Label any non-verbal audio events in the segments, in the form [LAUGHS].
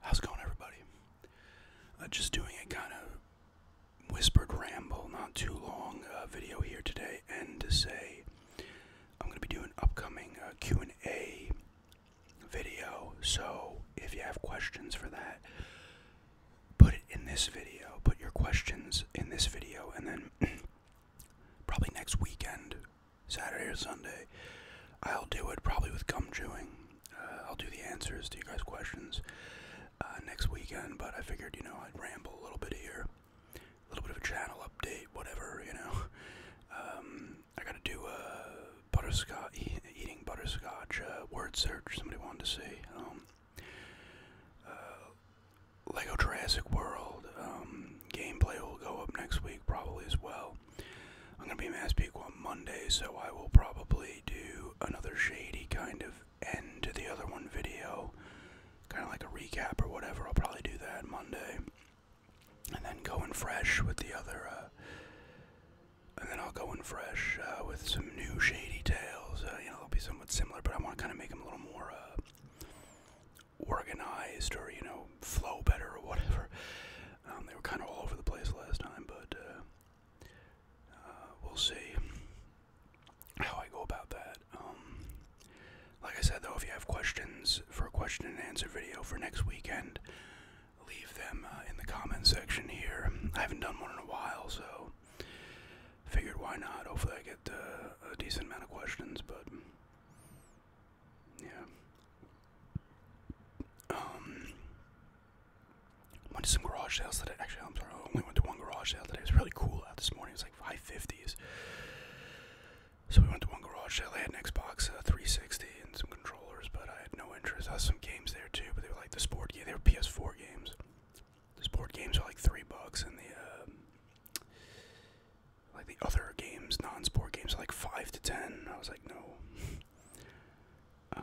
How's it going, everybody? Uh, just doing a kind of whispered ramble, not too long uh, video here today, and to say I'm going to be doing upcoming uh, Q and A video. So if you have questions for that, put it in this video. Put your questions in this video, and then [CLEARS THROAT] probably next weekend, Saturday or Sunday, I'll do it probably with gum chewing. Uh, I'll do the answers to you guys' questions uh, next weekend, but I figured, you know, I'd ramble a little bit here, a little bit of a channel update, whatever, you know. [LAUGHS] Um, I gotta do a butterscotch, eating butterscotch uh, word search somebody wanted to see. Um, Lego Jurassic World um, gameplay will go up next week probably as well. I'm gonna be Mass Peak on Monday, so I will probably do another shady kind of end to the other one video, kind of like a recap or whatever. I'll probably do that Monday, and then going fresh with the other. Uh, and then I'll go in fresh uh, with some new shady tales. Uh, you know, they'll be somewhat similar, but I want to kind of make them a little more organized or you know flow better or whatever. [LAUGHS] Um, they were kind of all over the place last time, but uh, uh we'll see how I go about that. Um, like I said, though, if you have questions for a question and answer video for next weekend, leave them uh, in the comment section here. I haven't done one in a while, so figured why not. Hopefully, I get uh, a decent amount of questions, but yeah. Um. Went to some garage sales today. Actually, I'm sorry. I only went to one garage sale today. It was really cool out this morning. It was like high fifties. So we went to one garage sale. They had an Xbox uh, 360 and some controllers, but I had no interest. I had some games there too, but they were like the sport game. They were PS4 games. The sport games are like three bucks, and the uh, like the other games, non-sport games, like five to ten. I was like, no. [LAUGHS] um,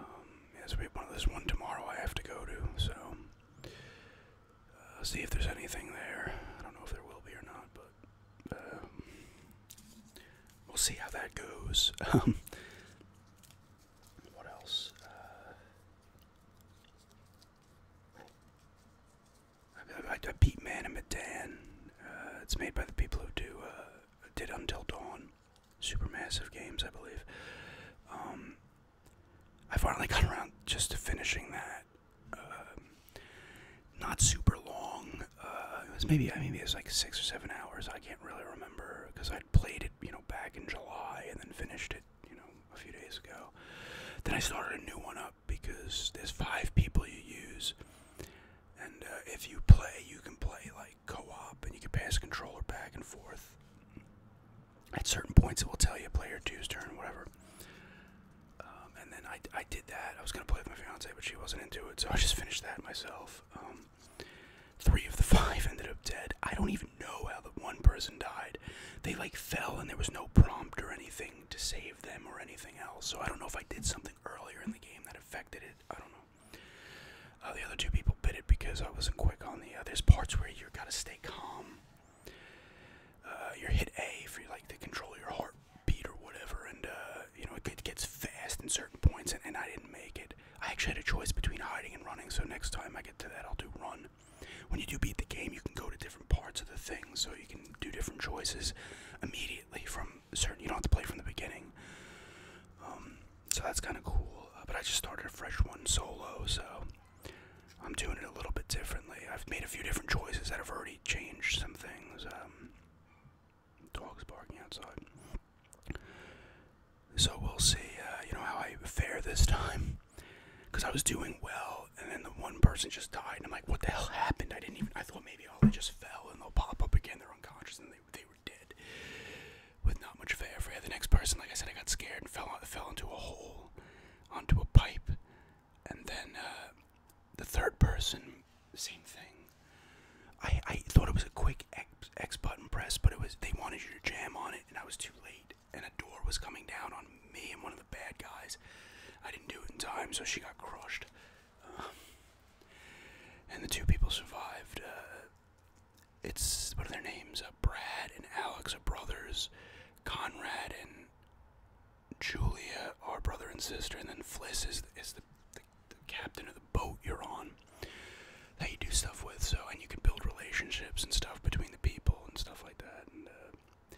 we have one. There's one tomorrow I have to go to. So uh, see if there's anything there. I don't know if there will be or not, but um, we'll see how that goes. [LAUGHS] Um, what else? Uh, I, beat Man and Madan. Uh, it's made by the people who do uh, did Until Dawn, Supermassive Games, I believe. Um, I finally got around just to finishing that. Um, not super long. Uh, it was maybe maybe it was like six or seven hours. I can't really remember because I played it, you know, back in July and then finished it, you know, a few days ago. Then I started a new one up because there's five people you use, and uh, if you play, you can play like co-op, and you can pass the controller back and forth. At certain points, it will tell you player two's turn, whatever. Um, and then I, I did that. I was gonna play with my fiance, but she wasn't into it, so I just finished that myself. Um, three of the [LAUGHS] five ended up dead. I don't even know how the one person died. They like fell, and there was no prompt or anything to save them or anything else. So I don't know if I did something earlier in the game that affected it. I don't know. Uh, the other two people bit it because I wasn't quick on the. Uh, there's parts where you gotta stay calm. Uh, you hit A for like to control your heartbeat or whatever, and uh, you know it gets fast in certain points, and I didn't make it. I actually had a choice between hiding and running, so next time I get to that, I'll do run. When you do beat the game, you can go to different parts of the thing, so you can do different choices immediately from certain. You don't have to play from the beginning. Um, so that's kind of cool. Uh, but I just started a fresh one solo, so I'm doing it a little bit differently. I've made a few different choices that have already changed some things. Um, dogs barking outside. So we'll see, uh, you know, how I fare this [LAUGHS] time. Because I was doing well and then the one person just died. And I'm like, what the hell happened? I didn't even. I thought maybe all they just fell and they'll pop up again. They're unconscious and they they were dead. With not much fanfare, the next person, like I said, I got scared and fell fell into a hole, onto a pipe, and then uh, the third person, same thing. I I thought it was a quick X, X button press, but it was they wanted you to jam on it, and I was too late. And a door was coming down on me and one of the bad guys. I didn't do it in time, so she got crushed. Um, and the two people survived. Uh, it's one of their names? Uh, Brad and Alex are brothers. Conrad and Julia are brother and sister. And then Fliss is the, captain of the boat you're on that you do stuff with. So and you can build relationships and stuff between the people and stuff like that. Uh,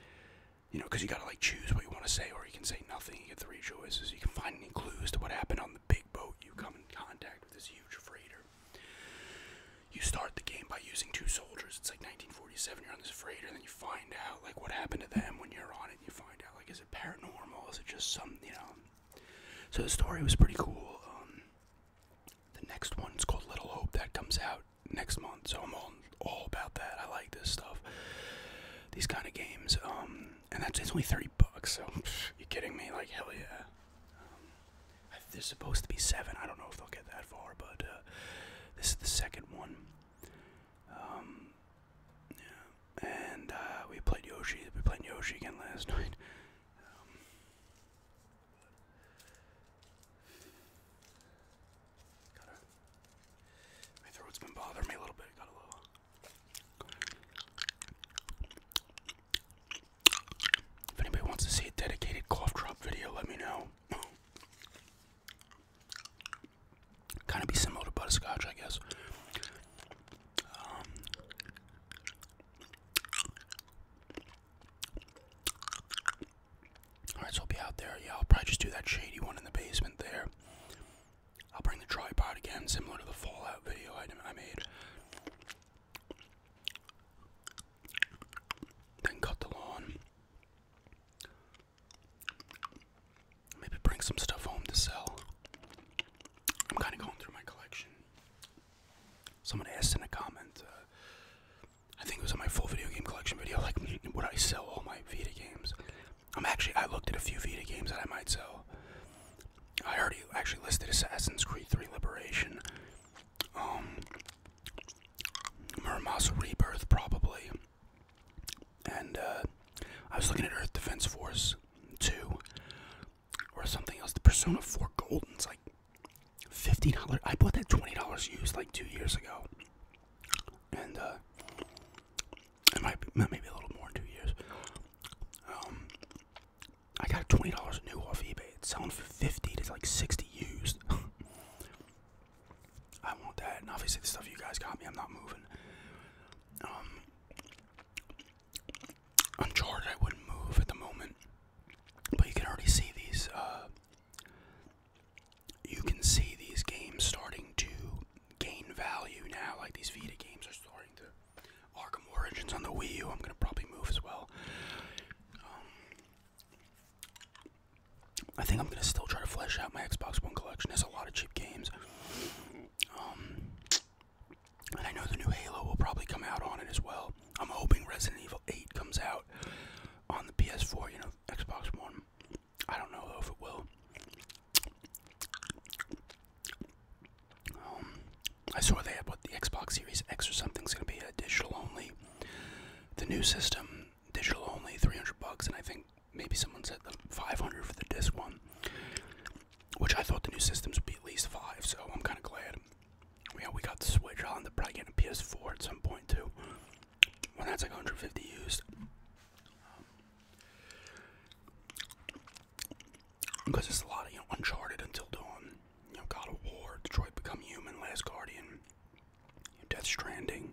you know, because you gotta like choose what you want to say, or you can say nothing. You get three choices. You can find any clues to what happened on the big boat. You come in contact with this huge freighter. You start the game by using two soldiers. It's like 1947. You're on this freighter, and then you find out like what happened to them when you're on it. You find out like is it paranormal? Is it just some you know? So the story was pretty cool. Um, the next one's called Little Hope that comes out next month. So I'm on all about that. I like this stuff. These kind of games. Um, and that's it's only 30 bucks. So pff, you kidding me? Like hell yeah. Um, I, there's supposed to be seven. I don't know if they'll get that far, but uh, this is the second one. Um, yeah. And uh, we played Yoshi. We played Yoshi again last [LAUGHS] night. Um, if anybody wants to see a dedicated cough drop video, let me know. kind of be similar to butterscotch, I guess. Um, Alright, so I'll be out there. Yeah, I'll probably just do that shady one in the basement there. I'll bring the tripod again, similar to the Fallout video item I made. Then cut the lawn. Maybe bring some stuff home to sell. I'm kind of going through my collection. Someone asked in a comment, uh, I think it was on my full video game collection video, like, [LAUGHS] would I sell all my Vita games? I'm actually I looked at a few Vita games that I might sell. I already actually listed Assassin's Creed 3 Liberation, um, Muramasa Rebirth probably, and uh, I was looking at Earth Defense Force 2 or something else. The Persona 4 Golden's like fifty dollars. I bought that twenty dollars used like two years ago, and uh, it might maybe a little more in two years. Um, I got twenty dollars new off eBay. It's selling for fifty to like sixty used. [LAUGHS] I want that, and obviously the stuff you guys got me, I'm not moving. Um, Uncharted, I wouldn't move at the moment, but you can already see these uh, you can see these games starting to gain value now. Like these Vita games are starting to. Arkham Origins on the Wii U, I'm gonna probably move as well. Um, I think I'm gonna still try to flesh out my Xbox One collection. There's a lot of cheap games. Um, and I know the new Halo will probably come out on it as well. I'm hoping Resident Evil 8 comes out on the PS4, you know, Xbox One. I don't know if it will. Um, I saw they had what the Xbox Series X or something's going to be a digital only. The new system, digital only, 300 bucks, and I think maybe someone said the 500 for the disc one, which I thought the new systems would be at least five. So I'm kind of glad. Yeah, we got the Switch. I'll end up probably getting a PS4 at some point too. Well, that's like 150 used. Because um, it's a lot of Uncharted Until Dawn, you know God of War, Detroit Become Human, Last Guardian, Death Stranding,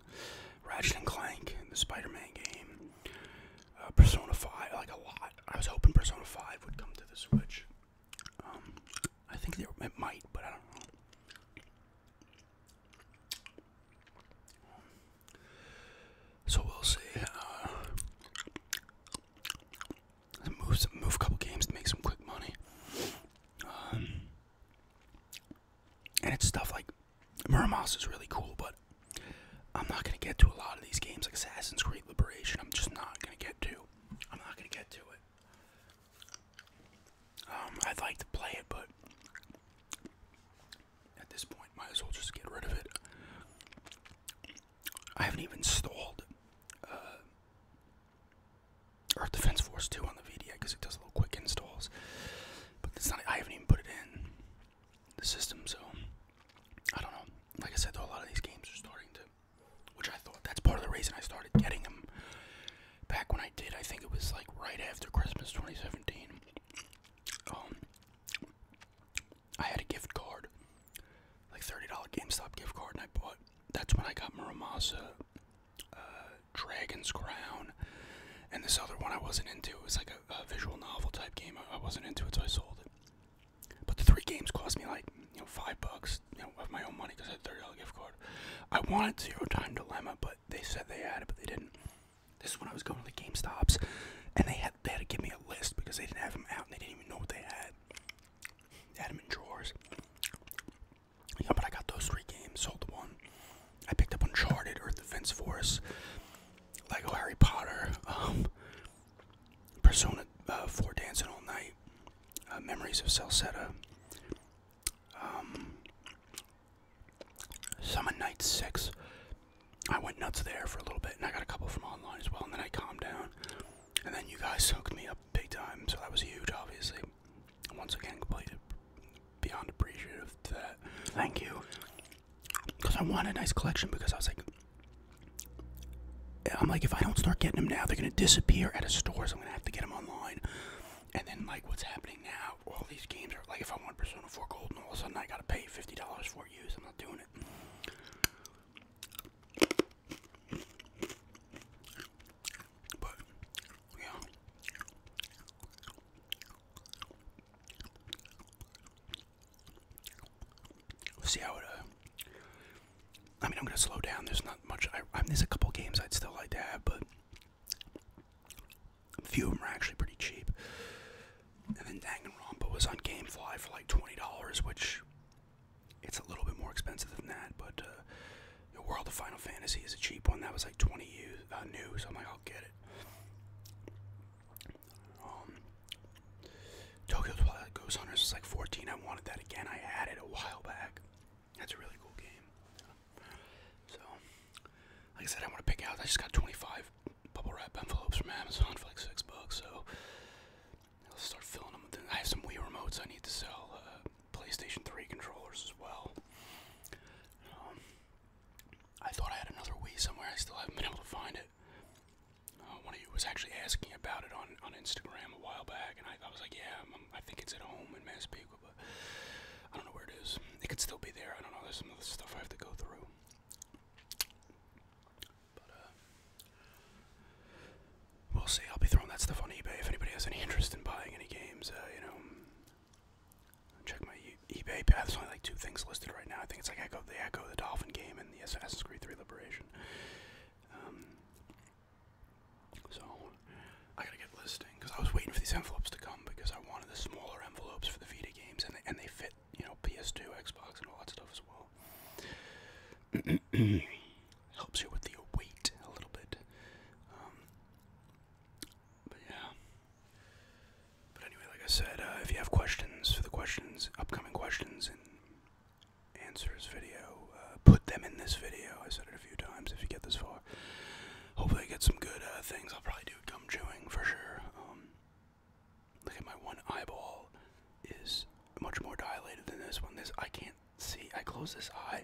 Ratchet and Clank, the Spider-Man game, uh, Persona 5, like a lot. I was hoping Persona 5 would come to the Switch. Um, I think they, it might, but I don't know. So we'll see. Uh, move some, move a couple games to make some quick money. Um, and it's stuff like Muramos is really cool, but I'm not gonna get to a lot of these games like Assassin's Creed Liberation. I'm just not gonna get to. I'm not gonna get to it. Um, I'd like to play it, but at this point, might as well just get rid of it. I haven't even installed uh, Earth Defense Force 2 on the VDA because it does little quick installs. But it's not, I haven't even put it in the system, so I don't know. Like I said, though, a lot of these games are starting to, which I thought that's part of the reason I started getting them back when I did. I think it was like right after Christmas 2017 um, I had a gift card, like $30 GameStop gift card, and I bought, that's when I got Muramasa, uh, Dragon's Crown, and this other one I wasn't into. It was like a, visual novel type game. I, wasn't into it, so I sold it. But the three games cost me like, you know, five bucks, you know, of my own money because I had $30 gift card. I wanted Zero Time Dilemma, but they said they had it, but they didn't. This is when I was going to the Stops, and they had they had to give me a list because they didn't have them out and they didn't even know what they had. They had them in drawers. Yeah, but I got those three games. Sold one. I picked up Uncharted, Earth Defense Force, Lego Harry Potter, um, Persona uh, 4 Dancing All Night, uh, Memories of Salsetta, um, Summon Night 6. I went nuts there for a little bit, and I got a couple from online as well, and then I calmed down. And then you guys hooked me up big time, so that was huge, obviously. once again, completely beyond appreciative Thank you. Because I want a nice collection, because I was like, I'm like, if I don't start getting them now, they're going to disappear out of stores. I'm going to have to get them online. And then, like, what's happening now all these games are like if I want Persona 4 Gold and all of a sudden I gotta pay fifty dollars for it I'm not doing it. But yeah. see how it. Uh, I mean, I'm gonna slow down. There's not much. I, I there's a couple games I'd still like to have, but a few of them are actually pretty cheap. And then Danganronpa was on GameFly for like $20, which it's a little bit more expensive than that, but uh, the World of Final Fantasy is a cheap one. That was like 20 uh, new, so I'm like, I'll get it. Um, Tokyo Twilight Ghost Hunters is like 14. I wanted that again. I added a while back. That's a really cool game. So, like I said, I'm to pick out. I just got 25 bubble wrap envelopes from Amazon for like six bucks, so I'll start filling them. With I have some Wii remotes I need to sell, uh, PlayStation 3 controllers as well. Um, I thought I had another Wii somewhere. I still haven't been able to find it. Uh, one of you was actually asking about it on, on Instagram a while back, and I, was like, yeah, i think it's at home in Massapequa, but I don't know where it is. It could still be there. I don't know. There's some other stuff I have to go through. Uh, we'll see. I'll be throwing that stuff on eBay. If anybody has any interest in buying any games, uh, you know, check my eBay eBay. There's only like two things listed right now. I think it's like Echo, the Echo, the Dolphin game, and the Assassin's Creed 3 Liberation. Um, so I gotta get listing because I was waiting for these envelopes to come because I wanted the smaller envelopes for the Vita games, and they, and they fit you know, PS2, Xbox, and all that stuff as well. [CLEARS THROAT] Helps you with the weight a little bit. Um, but yeah. But anyway, like I said, uh, if you have questions for the questions, upcoming questions and answers video, uh, put them in this video. I said it a few times. If you get this far, hopefully I get some good uh, things. I'll probably do gum chewing for sure. Um, Look at my one eyeball is much more dilated than this one. This I can't see. I close this eye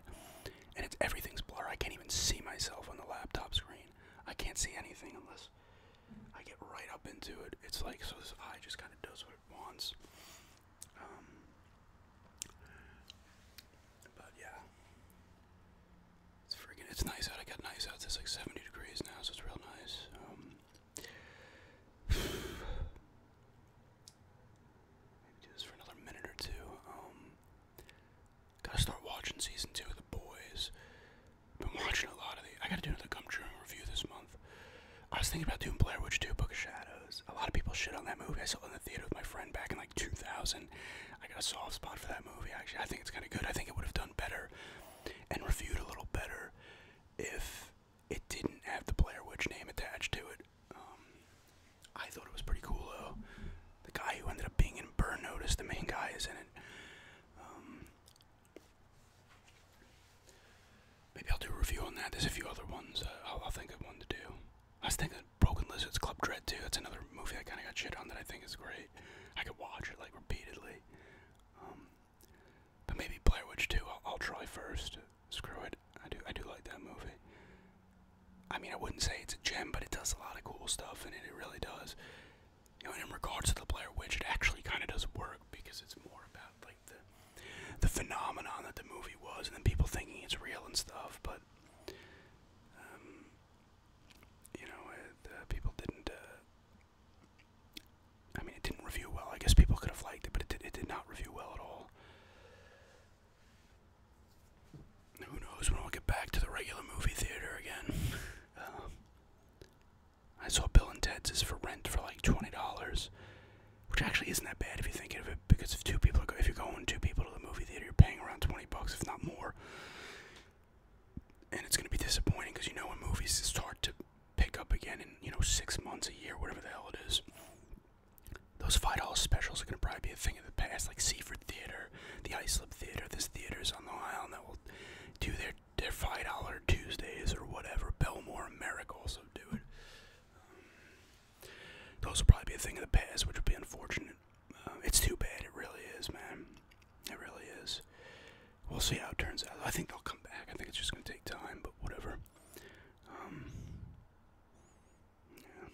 and it's everything's blur. I can't even see myself on the laptop screen. I can't see anything unless I get right up into it. It's like so this eye just kind of does what it wants. Um, but yeah. It's freaking, it's nice out. I got nice out. It's like 70 degrees now, so it's real nice. Um, [SIGHS] maybe do this for another minute or two. Um, gotta start watching season two of The Boys. Been watching a lot of the. I gotta do another Gumtree review this month. I was thinking about doing Blair Witch 2 Book of Shadows. A lot of people shit on that movie. I saw it in the theater with my friend back in like 2000. I got a soft spot for that movie, actually. I think it's kind of good. I think it would have done better and reviewed a little better if it didn't have the Blair Witch name attached to it. Um, I thought it was pretty cool though. The guy who ended up being in Burn Notice, the main guy, is in it. Um, maybe I'll do a review on that. There's a few other ones uh, I'll think of one to do. I was thinking Broken Lizards Club Dread too. That's another movie I kind of got shit on that I think is great. I could watch it like repeatedly. Um, but maybe Blair Witch 2 I'll, try first. Screw it. I do I do like that movie. I mean, I wouldn't say it's a gem, but it does a lot of cool stuff in it. It really does. You know, in regards to the Blair Witch, it actually kind of does work because it's more about like the the phenomenon that the movie was, and then people thinking it's real and stuff. But um, you know, uh, people didn't uh, I mean, it didn't review well. I guess people could have liked it, but it did, it did not review well at all. Who knows when we'll get back to the regular movie theater again? [LAUGHS] Um, I saw Bill and Ted's is for rent for like twenty dollars, which actually isn't that bad if you are thinking of it. Because if two people, go, if you're going two people to the movie theater, you're paying around twenty bucks, if not more and it's gonna be disappointing because you know when movies start to pick up again in you know six months, a year, whatever the hell it is, those five dollar specials are gonna probably be a thing of the past, like Seaford Theater, the Islip Theater, this theaters on the Island that will do their their five dollar Tuesdays or whatever. Belmore America also do it. Um, those will probably be a thing of the past, which would be unfortunate. Uh, it's too bad, it really is, man. It really is. We'll see how it turns out. I think they'll come back. I think it's just going to take time, but whatever. Um, yeah.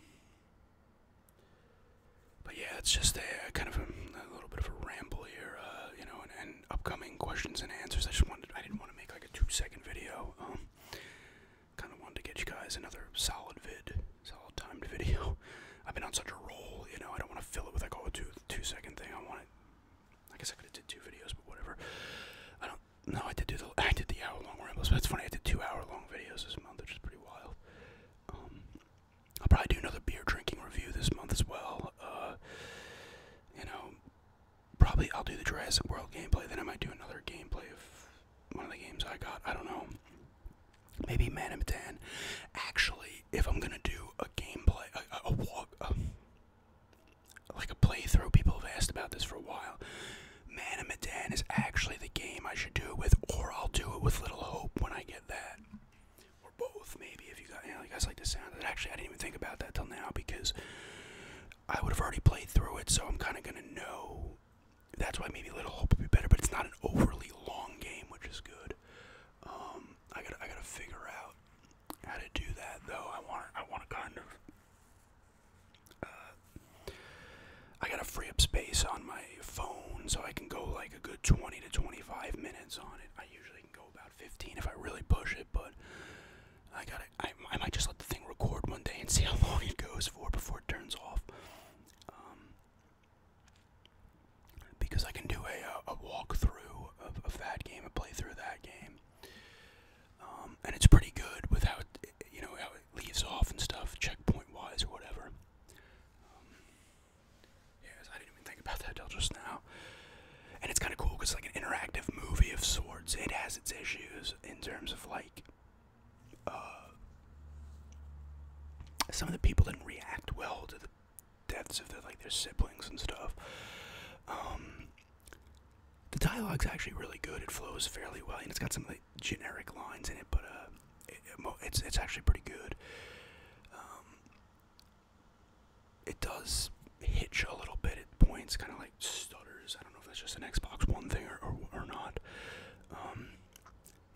But yeah, it's just a, kind of a, little bit of a ramble here, uh, you know, and, upcoming questions and answers. I just wanted, I didn't want to make like a two-second video. Um, kind of wanted to get you guys another solid vid, solid timed [LAUGHS] video. I've been on such a roll, you know. I don't want to fill it with like oh, a two two second thing. I want it I guess I could have did two videos, but whatever. I don't. No, I did do the I did the hour long rambles, but it's funny I did two hour long videos this month, which is pretty wild. Um, I'll probably do another beer drinking review this month as well. Uh, you know, probably I'll do the Jurassic World gameplay. Then I might do another gameplay of one of the games I got. I don't know. Maybe Man and Medan. Actually, if I'm gonna do a gameplay, a, walk. Uh, like a playthrough. People have asked about this for a while. Man and Madan is actually the game I should do with, or I'll do it with Little Hope when I get that, or both maybe. If you guys, you, you guys like the sound of it. Actually, I didn't even think about that till now because I would have already played through it, so I'm kind of gonna know. That's why maybe Little Hope would be better, but it's not an overly long game, which is good. Um, I gotta I gotta figure out how to do that though. I want I want to kind of. Uh, I gotta free up space on my phone so I can go like a good 20 to 25 minutes on it. I usually can go about 15 if I really push it, but I gotta. I, I might just let the thing record one day and see how long it goes for before it turns off. Um, because I can do a, uh, a walkthrough of, that game, a playthrough of that game. Um, and it's pretty good without, you know, how it leaves off and stuff, checkpoint wise or whatever. Um, yes, I didn't even think about that till just now. And it's kind of cool because it's like an interactive movie of sorts. It has its issues in terms of like, uh, some of the people didn't react well to the deaths of their like their siblings and stuff. Um, the dialogue's actually really good. It flows fairly well, and it's got some like generic lines in it, but uh, it's it's actually pretty good. Um, it does hitch a little bit at points, kind of like stutters. I don't know if that's just an Xbox One thing or or, not. Um,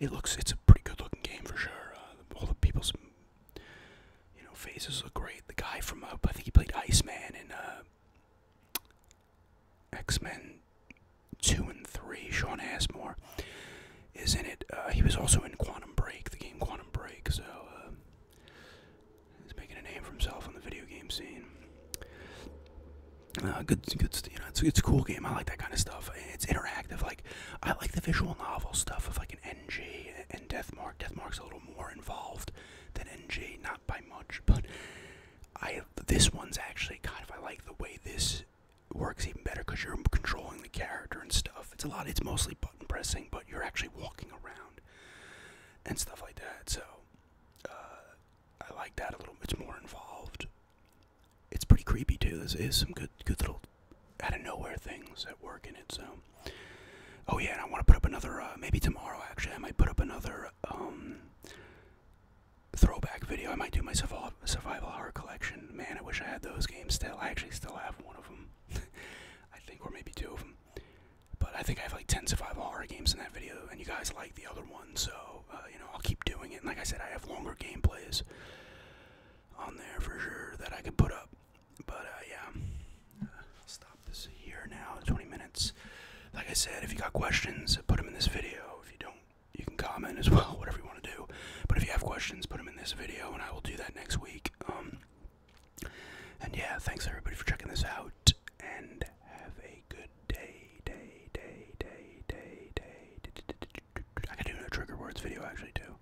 it looks it's a pretty good looking game for sure. Uh, all the people's you know, phases look great. The guy from uh, I think he played Iceman in uh, X Men Two and Three. Sean Asmore is in it. Uh, he was also in Quantum Break, the game Quantum Break. So uh, he's making a name for himself on the video game scene. good, good. it's it's a cool game. I like that kind of stuff. It's interactive. Like I like the visual novel stuff of like an NG and Death March Deathmark. Deathmark's a little more involved than N.J. not by much, but I this one's actually kind of I like the way this works even better because you're controlling the character and stuff. It's a lot. It's mostly button pressing, but you're actually walking around and stuff like that. So uh, I like that a little. It's more involved. It's pretty creepy too. There's, there's some good, good little out of nowhere things that work in it. So, oh yeah, and I want to put up another. Uh, maybe tomorrow, actually, I might put up another um, throwback video. I might do my survival, survival horror collection. Man, I wish I had those games still. I actually still have one of them, [LAUGHS] I think, or maybe two of them. But I think I have like 10 survival horror games in that video, and you guys like the other one, so uh, you know I'll keep doing it. And like I said, I have longer gameplays on there for sure that I can put up. But uh, yeah, uh, stop this here now. 20 minutes. Like I said, if you got questions, put them in this video. If you don't, you can comment as [LAUGHS] well, whatever you want to do. But if you have questions, put them in this video, and I will do that next week. Um, and yeah, thanks everybody for checking this out, and have a good day, day, day, day, day, day. I could do a trigger words video actually too.